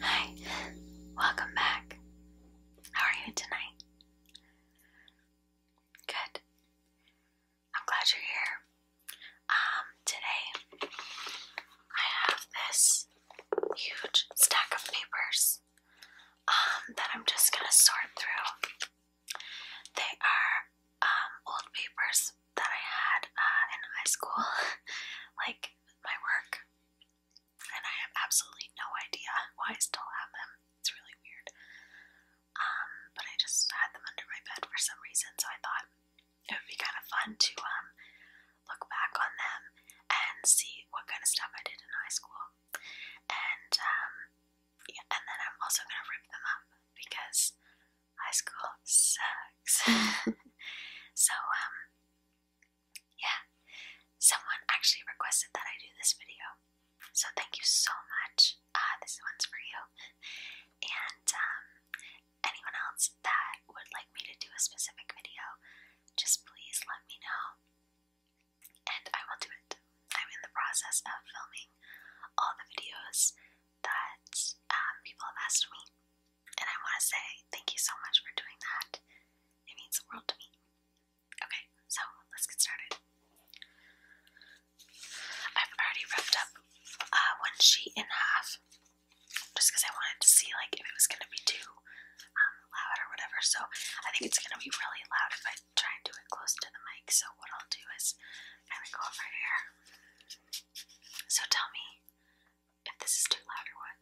Hi, welcome back. How are you tonight? Good. I'm glad you're here. Um, today I have this huge stack of papers um that I'm just gonna sort through. They are um old papers that I had uh, in high school, like my work and I have absolutely no idea why I still have them. It's really weird. Um, but I just had them under my bed for some reason, so I thought it would be kind of fun to um look back on them and see what kind of stuff I did in high school. And um, yeah, and then I'm also gonna rip them up because high school sucks. so um, yeah, someone actually requested that I do this video, so thank you so much. Uh, this one's for you. And um, anyone else that would like me to do a specific video, just please let me know. And I will do it. I'm in the process of filming all the videos that um, people have asked me and I want to say thank you so much for doing that. It means the world to me. Okay, so let's get started. I've already ripped up uh, one sheet in half just because I wanted to see like if it was going to be too um, loud or whatever. So I think it's going to be really loud if I try and do it close to the mic. So what I'll do is kind of go over here. So tell me if this is too loud or what.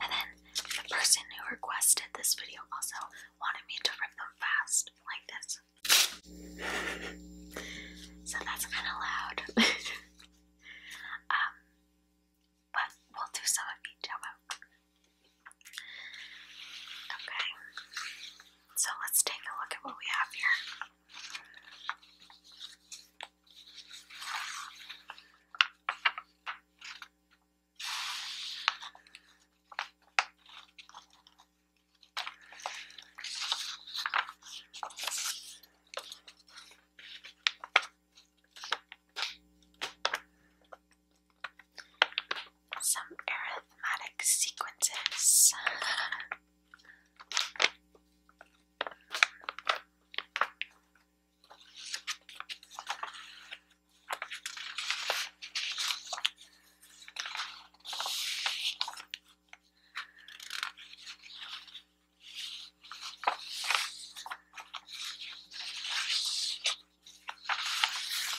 And then the person who requested this video also wanted me to rip them fast, like this. So that's kind of loud. um, but we'll do some of each, how Okay, so let's take a look at what we have here. Some arithmetic sequences.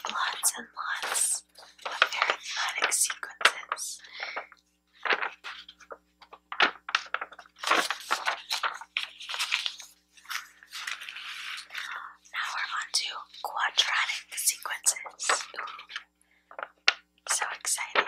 Lots and lots of arithmetic sequences. Now we're on quadratic sequences. so exciting.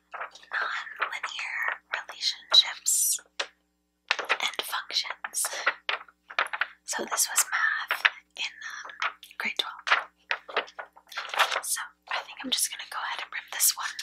non-linear relationships and functions. So this was math in um, grade 12. So I think I'm just gonna go ahead and rip this one.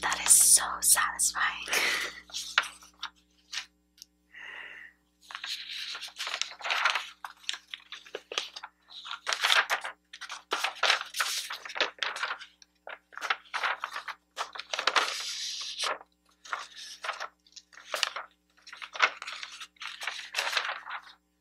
That is so satisfying.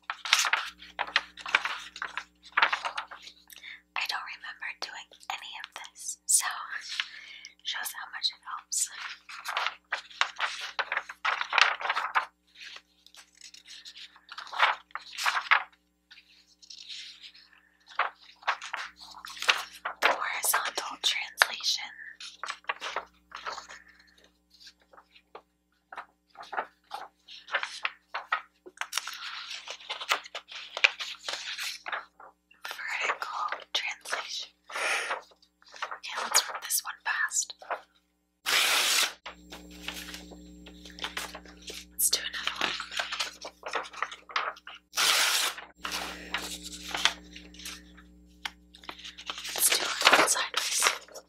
I don't remember doing any of this, so shows how much it helps. Horizontal translation. Vertical translation. Okay, let's rip this one past. Let's do another one. Let's do one sideways.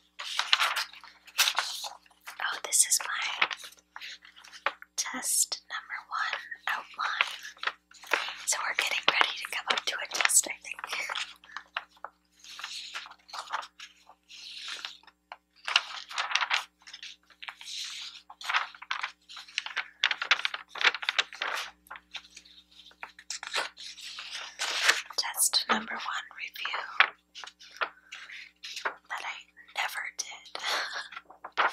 Oh, this is my test number one outline. So we're getting ready to come up to a test, I think. Test number one review that I never did. I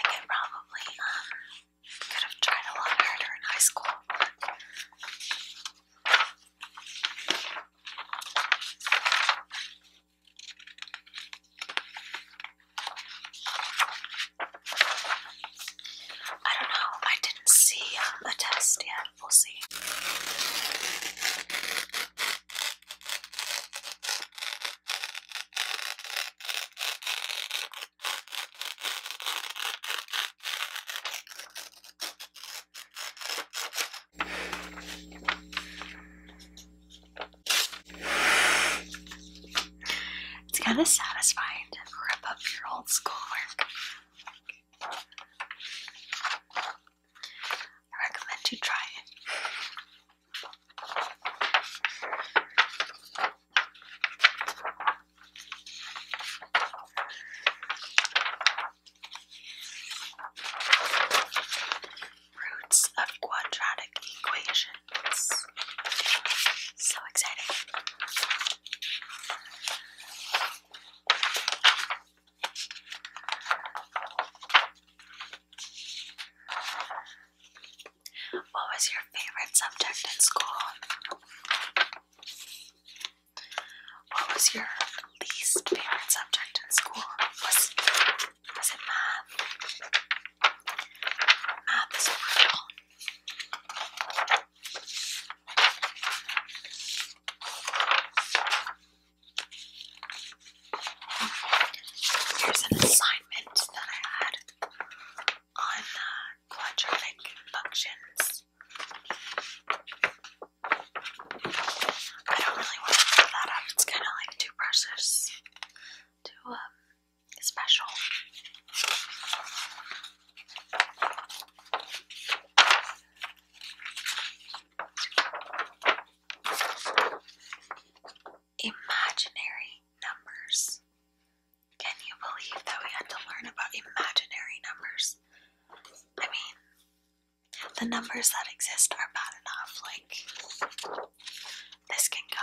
think I probably um could have tried a lot harder in high school. I don't know. I didn't see um, a test yet. We'll see. It's kind of satisfying to rip up your old schoolwork. I recommend you try it. Roots of quadratic equations. So exciting. What was your favorite subject in school? What was your least favorite subject in school? Was, was it math? Math is brutal. Here's an assignment that I had on uh, quadratic functions. I don't really want to pull that up, it's kind of like too precious, too um, special. Imaginary numbers. Can you believe that we had to learn about imaginary numbers? I mean, the numbers that exist are bad enough, like, this can go.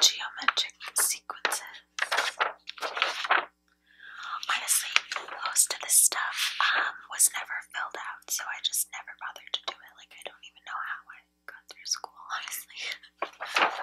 Geometric sequences. Honestly, most of this stuff um, was never filled out, so I just never bothered to do it. Like, I don't even know how I got through school, honestly.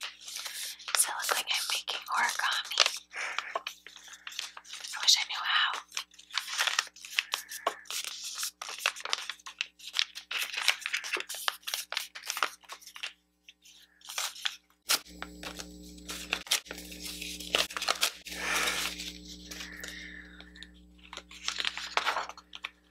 Does it looks like I'm making origami? I wish I knew how.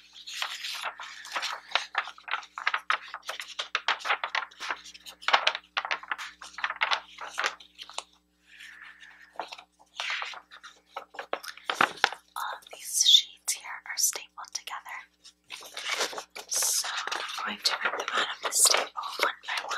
All of these sheets here are stapled together. So I'm going to rip them out of the staple one by one.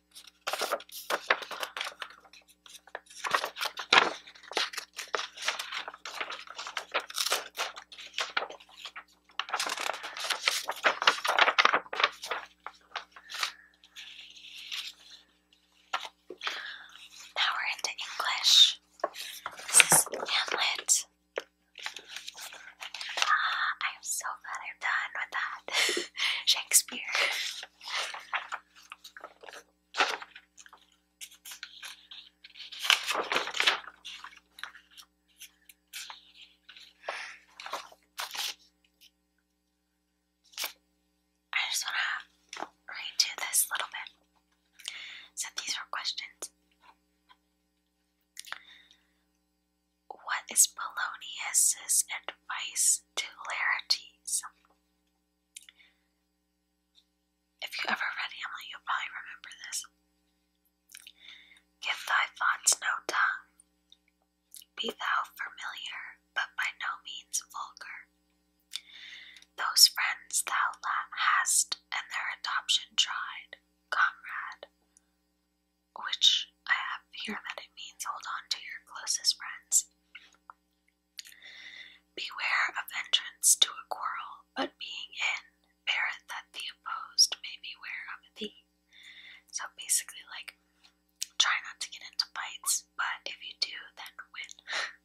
Now we're into English. This is Hamlet. Ah, I am so glad I'm done with that. Shakespeare. I just want to redo this little bit. So these are questions. What is Polonius's advice to Laertes? If you ever read Hamlet, you'll probably remember this. Give thy thoughts no tongue, be thou familiar, but by no means vulgar. Those friends thou hast, and their adoption tried, comrade, which I have here that it means hold on to your closest friends. Beware of entrance to a quarrel, but being in, beareth that the opposed may beware of thee. So basically, like, try not to get into fights, but if you do, then win.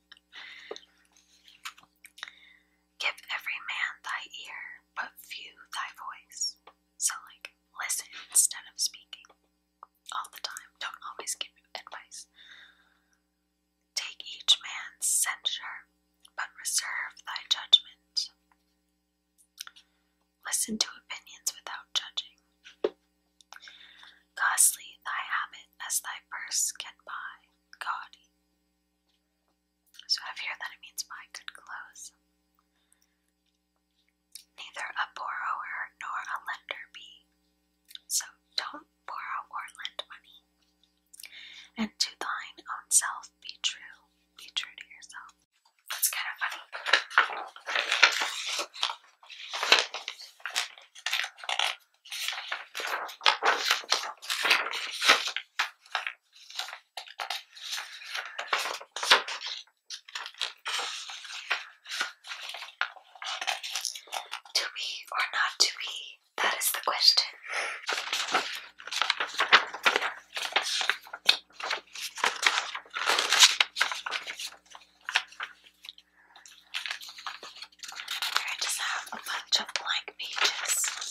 Give every man thy ear, but few thy voice. So, like, listen instead of speaking all the time. Don't always give advice. Take each man's censure, but reserve thy judgment. Listen to opinions without judging. Costly thy habit as thy purse get by. Gaudy. So I of here that it means buy good clothes neither a borrower nor a lender be. So don't borrow or lend money. And to thine own self be true. Be true to yourself. That's kind of funny. To be or not to be, that is the question. Here I just have a bunch of blank pages.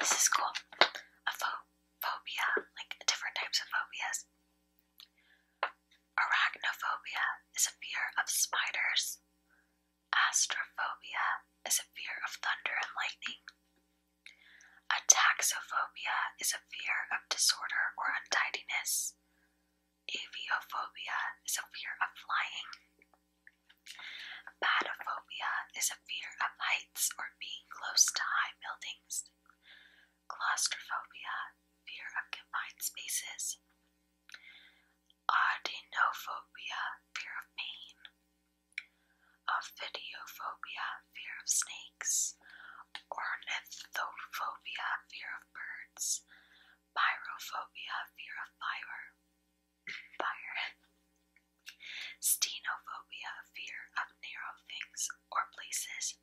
This is cool. A phobia, like different types of phobias. Arachnophobia is a fear of spiders. Astrophobia is a fear of thunder and lightning. A taxophobia is a fear of disorder or untidiness. Aviophobia is a fear of flying. Batophobia is a fear of heights or being close to high buildings. Claustrophobia, fear of confined spaces. Audinophobia, fear of pain. Ophidiophobia, fear of snakes. Ornithophobia, fear of birds. Pyrophobia, fear of fire fire. Stenophobia, fear of narrow things or places.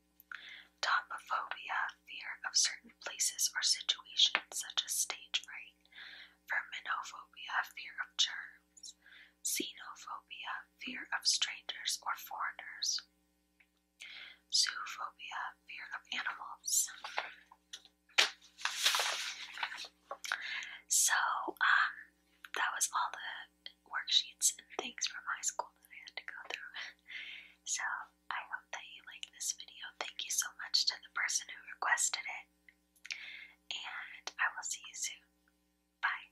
Topophobia, fear of certain places or situations, such as stage fright. Verminophobia, fear of germs. Xenophobia, fear of strangers or foreigners. Zoophobia, fear of animals. So, um, that was all the worksheets and things from high school that I had to go through. So, I hope that you liked this video. Thank you so much to the person who requested it. And I will see you soon. Bye.